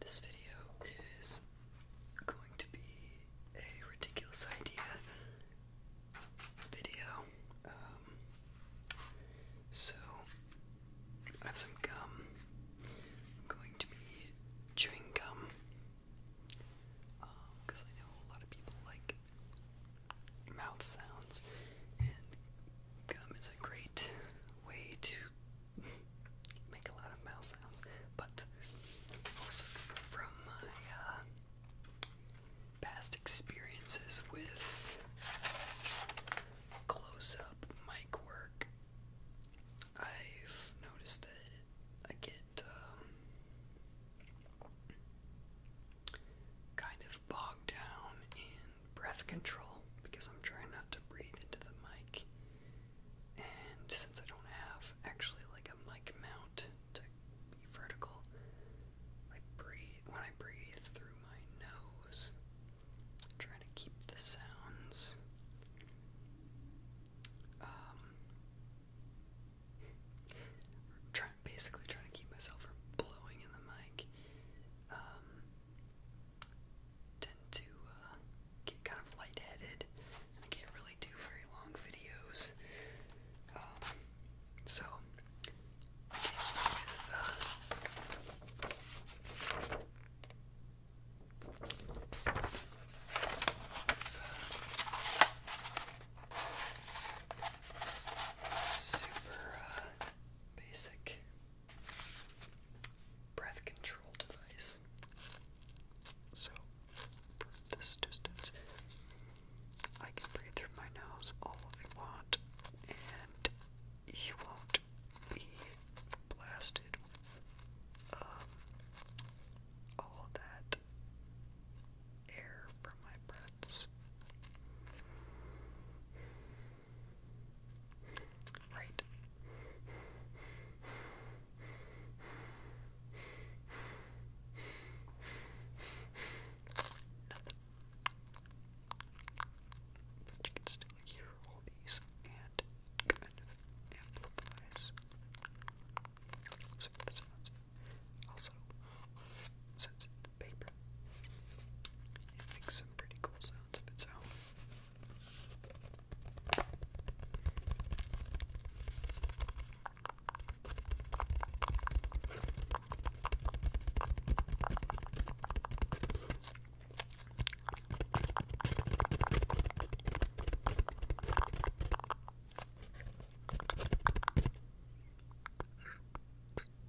This video is going to be a ridiculous idea video. Um, so, I have some gum. I'm going to be chewing gum because uh, I know a lot of people like mouth sounds, and gum is a great way to make a lot of mouth sounds. But also from my uh, past experiences with close up mic work, I've noticed that I get um, kind of of bogged down in breath control because I'm trying not to breathe into the mic. And since I don't have actually like a mic mount to be vertical, I breathe when I breathe through my nose. trying to keep the sounds um, trying basically trying to keep myself from blowing in the mic um, tend to uh, get kind of lightheaded, I can't really do very long videos. Um, so it's uh, super. Uh, basic breath control device. So, from this distance, I can breathe through my nose all I want, and you won't be blasted um, all that air from my breaths. Right. you can still hear all these and kind of the sounds. Also, since paper, it makes some pretty cool sounds of its own.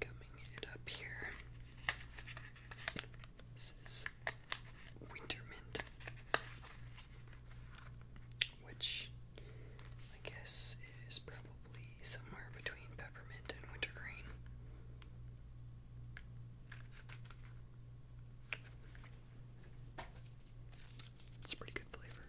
Coming it up here. This is winter mint, which I guess is probably somewhere between peppermint and wintergreen. It's a pretty good flavor.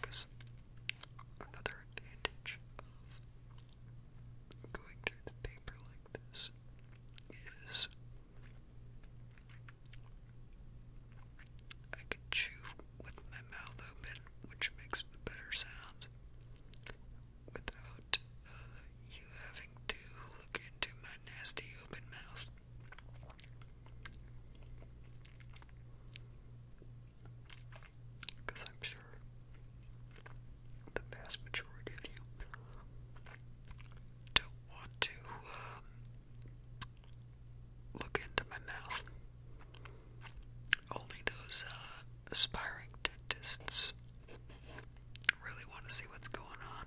Because another advantage of going through the paper like this is I can chew with my mouth open, which makes better sound without uh, you having to look into my nasty open mouth. Because I'm sure the vast majority of you don't want to um, look into my mouth. Only those uh, aspiring dentists Really want to see what's going on.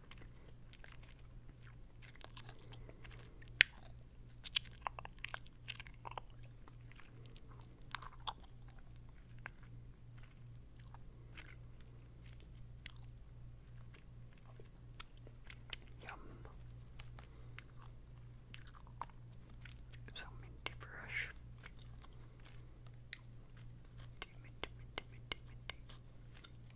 Yum. So minty fresh.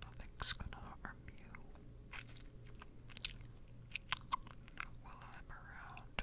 Nothing's gonna harm you while I'm around.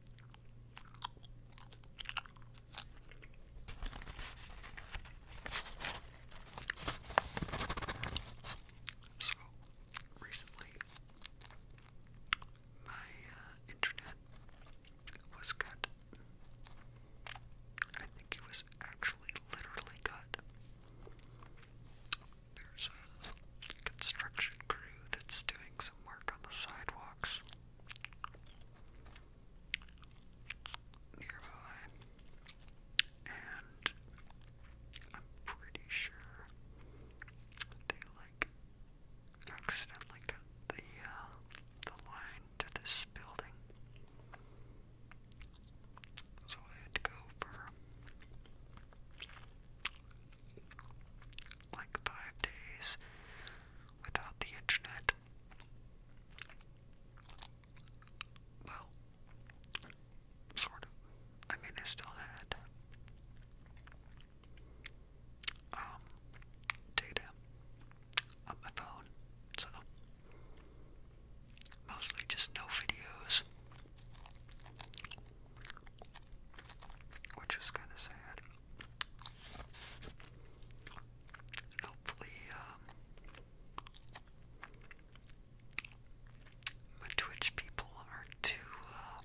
So, recently, my uh, internet was cut. I think it was actually literally cut. There's a construction crew that's doing some work on the sidewalks nearby, and I'm pretty sure they like accidentally cut the uh, the line to this building, so I had to go for like five days without the internet. Well, sort of. I mean, I still had um data on my phone, so mostly just no videos, which is kind of sad. Hopefully, um, my Twitch people are too, uh,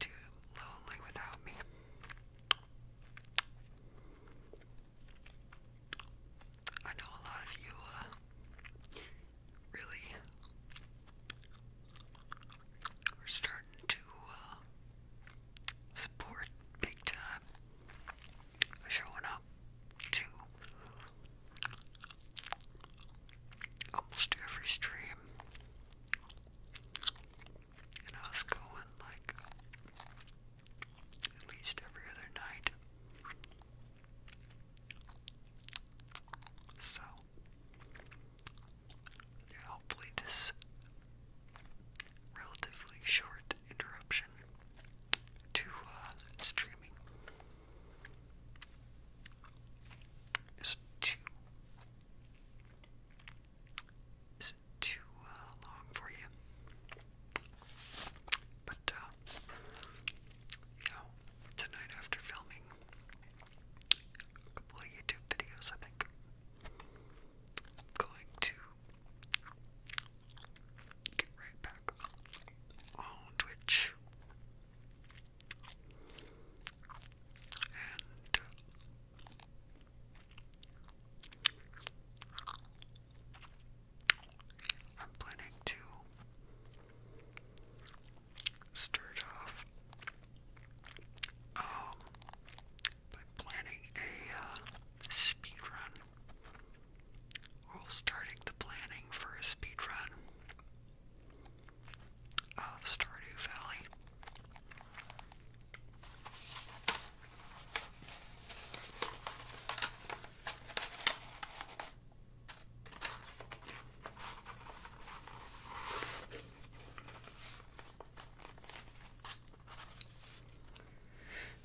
too lonely without me. I know a lot of you, uh, really we're starting to uh, support big time showing up to almost every stream. And I was going like at least every other night. So and hopefully, this relatively short interruption to uh, streaming is too is too uh, long for you. But uh, tonight after filming, a couple YouTube videos, I think. going to get right back on Twitch and uh, I'm planning to stirred off. Um, by planning a uh, or starting the planning for a speed of Stardew Valley.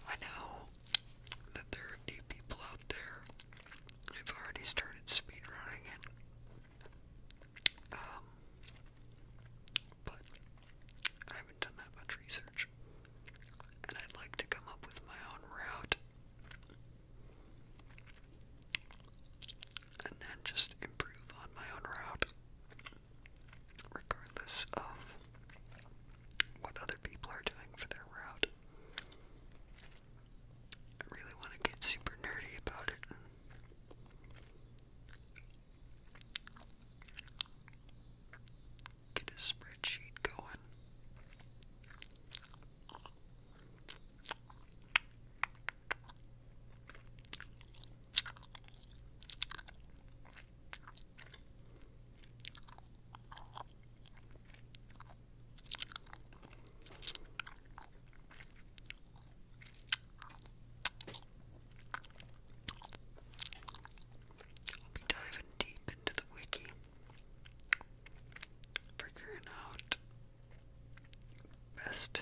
I know that there are a people out there who've already started speedrunning it. Um, but I haven't done that much research. And I'd like to come up with my own route and then just improve on my own route, regardless of what other people are doing for their route. I really want to get super nerdy about it. Get a spreadsheet going. I'll be diving deep into the wiki, figuring out best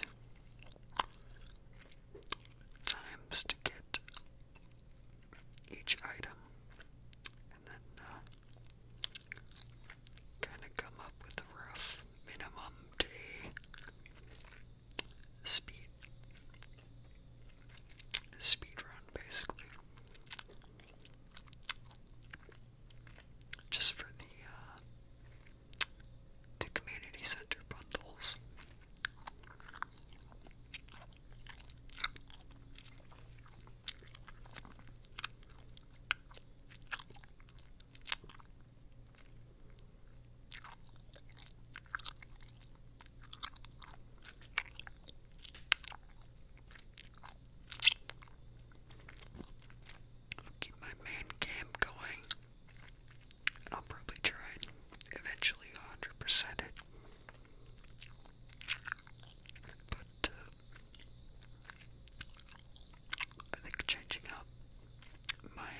times to get each item and then uh, kind of come up with a rough minimum day speed speed run basically just for the uh, the community center bundles. I'll keep my main game going. And I'll probably try and eventually 100% But uh, I think changing up my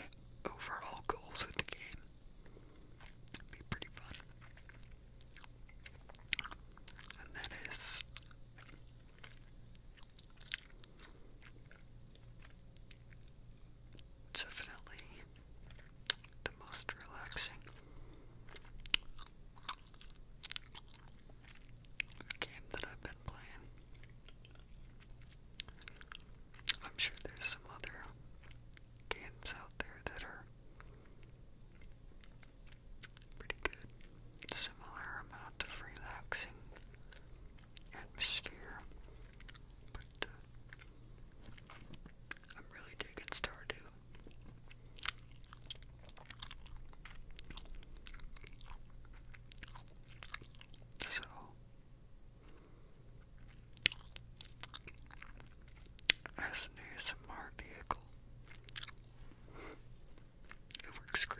overall goals with the game would be pretty fun. And that is Definitely the most relaxing game that I've been playing. I'm sure there's some other games out there that are pretty good, similar amount of relaxing atmosphere. But uh, I'm really digging Stardew. So as an ASMR vehicle, it works great.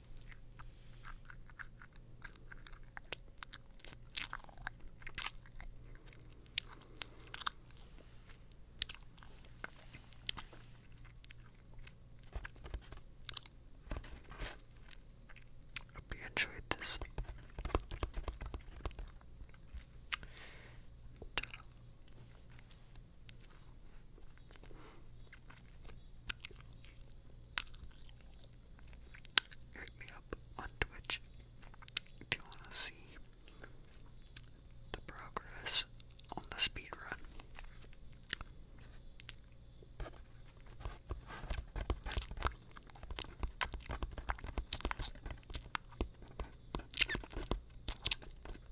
Hope you enjoyed this. Hit me up on Twitch if you want to see the progress on the speed run.